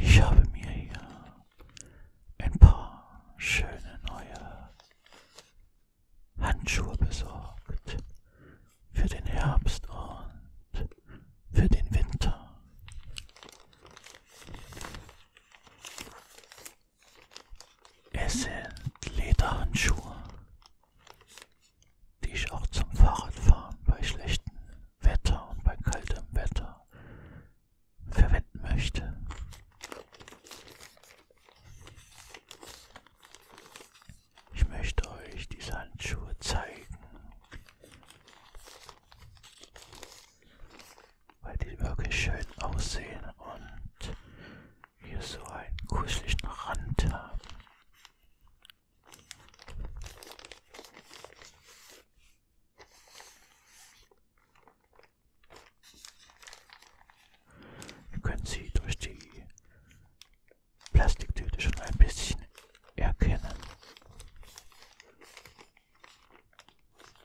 Ich habe mir hier ein paar schöne neue Handschuhe besorgt für den Herbst und für den Winter. Es sind Lederhandschuhe, die ich auch zum Fahrradfahren bei schlechtem Wetter und bei kaltem Wetter verwenden möchte. Ich möchte euch diese Handschuhe zeigen weil die wirklich schön aussehen und hier so einen kuscheligen Rand haben. Wir können sie durch die Plastiktüte schon ein bisschen erkennen.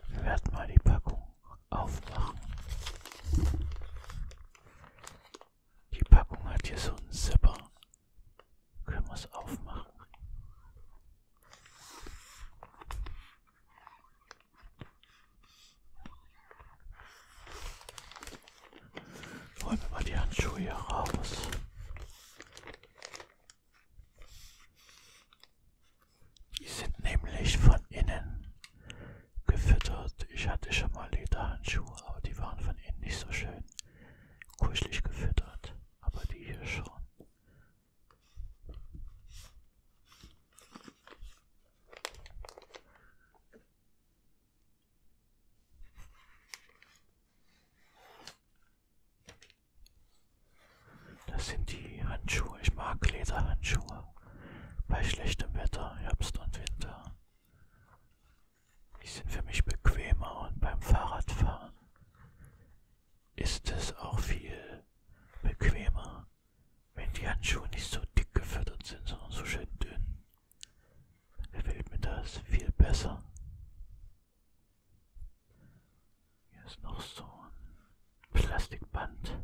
Wir werden mal die Packung aufmachen. Die Packung hat hier so einen Zipper. Können wir es aufmachen? Holen wir mal die Handschuhe hier raus. Die sind nämlich von innen gefüttert. Ich hatte schon mal Lederhandschuhe, aber die waren von innen nicht so schön kuschelig gefüttert. Aber die hier schon. Das sind die Handschuhe. Ich mag Lederhandschuhe. Bei schlechtem Wetter, Herbst und Winter. Die sind für mich bequemer und beim Fahrradfahren ist es auch viel bequemer, wenn die Handschuhe nicht so dick gefüttert sind, sondern so schön dünn. Dann gefällt mir das viel besser. Hier ist noch so ein Plastikband.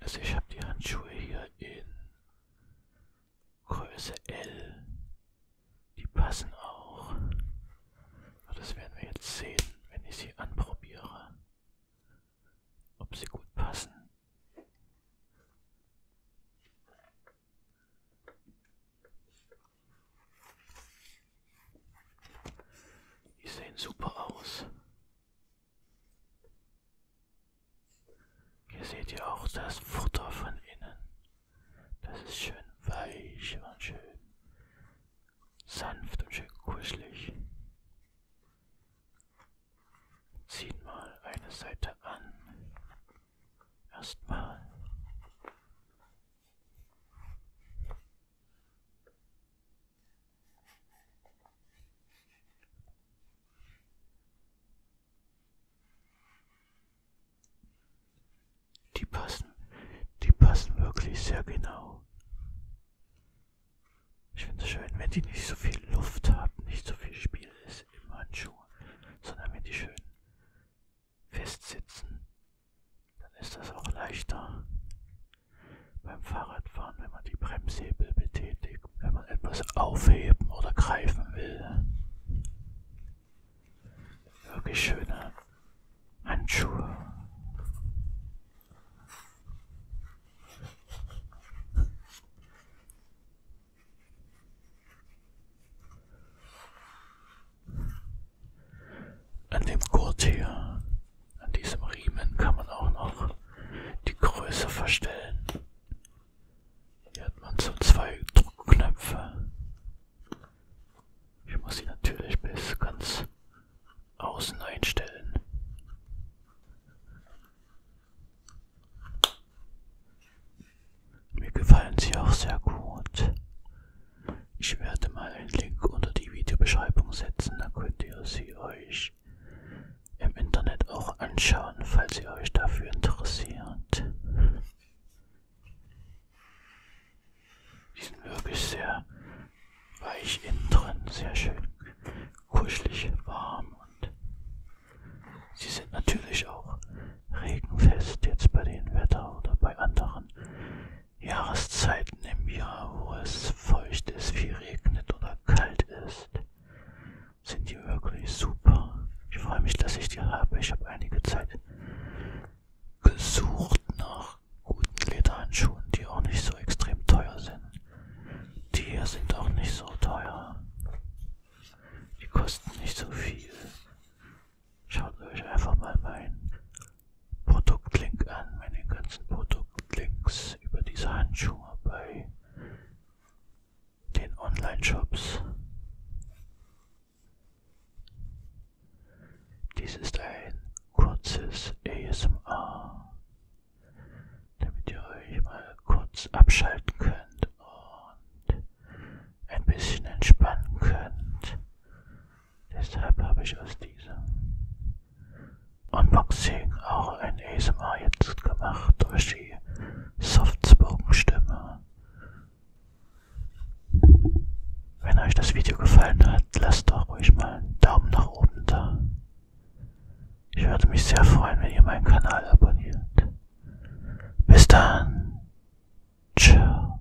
Also ich habe die Handschuhe hier in Größe L. Die passen auch. Aber das werden wir jetzt sehen, wenn ich sie anprobiere. Ob sie gut passen. Die sehen super aus. Hier seht ihr auch das Futter von innen. Das ist schön weich und schön sanft und schön kuschelig. Ziehen mal eine Seite an. Erstmal. Die passen, die passen wirklich sehr genau. Ich finde es schön, wenn die nicht so viel Luft haben, nicht so viel Spiel ist im Handschuh, sondern wenn die schön festsitzen dann ist das auch leichter beim Fahrradfahren, wenn man die Bremshebel betätigt, wenn man etwas aufheben oder greifen will. Wirklich schöne Handschuhe. An dem Gurt hier, an diesem Riemen kann man auch noch die Größe verstellen. Hier hat man so zwei Druckknöpfe. Ich muss sie natürlich bis ganz außen einstellen. Mir gefallen sie auch sehr gut. Ich werde mal einen Link unter die Videobeschreibung setzen, dann könnt ihr sie euch im Internet auch anschauen, falls ihr euch dafür interessiert. Die sind wirklich sehr weich innen drin, sehr schön kuschelig, warm und sie sind natürlich auch regenfest jetzt bei dem Wetter oder bei anderen Jahreszeiten im Jahr, wo es feucht ist, viel regnet oder kalt ist, sind die wirklich super. Ich freue mich, dass ich die habe. Ich habe einige Zeit gesucht nach guten Lederhandschuhen, die auch nicht so extrem teuer sind. Die hier sind auch nicht so teuer. Die kosten nicht so viel. Schaut euch einfach mal meinen Produktlink an, meine ganzen Produktlinks über diese Handschuhe bei den Online-Shops. Dies ist ein kurzes ASMR, damit ihr euch mal kurz abschalten könnt und ein bisschen entspannen könnt Deshalb habe ich aus diesem Unboxing auch ein ASMR jetzt gemacht durch die Softspoken-Stimme. Wenn euch das Video gefallen hat, lasst doch ruhig mal einen Daumen nach oben da. Ich würde mich sehr freuen, wenn ihr meinen Kanal abonniert. Bis dann. Ciao.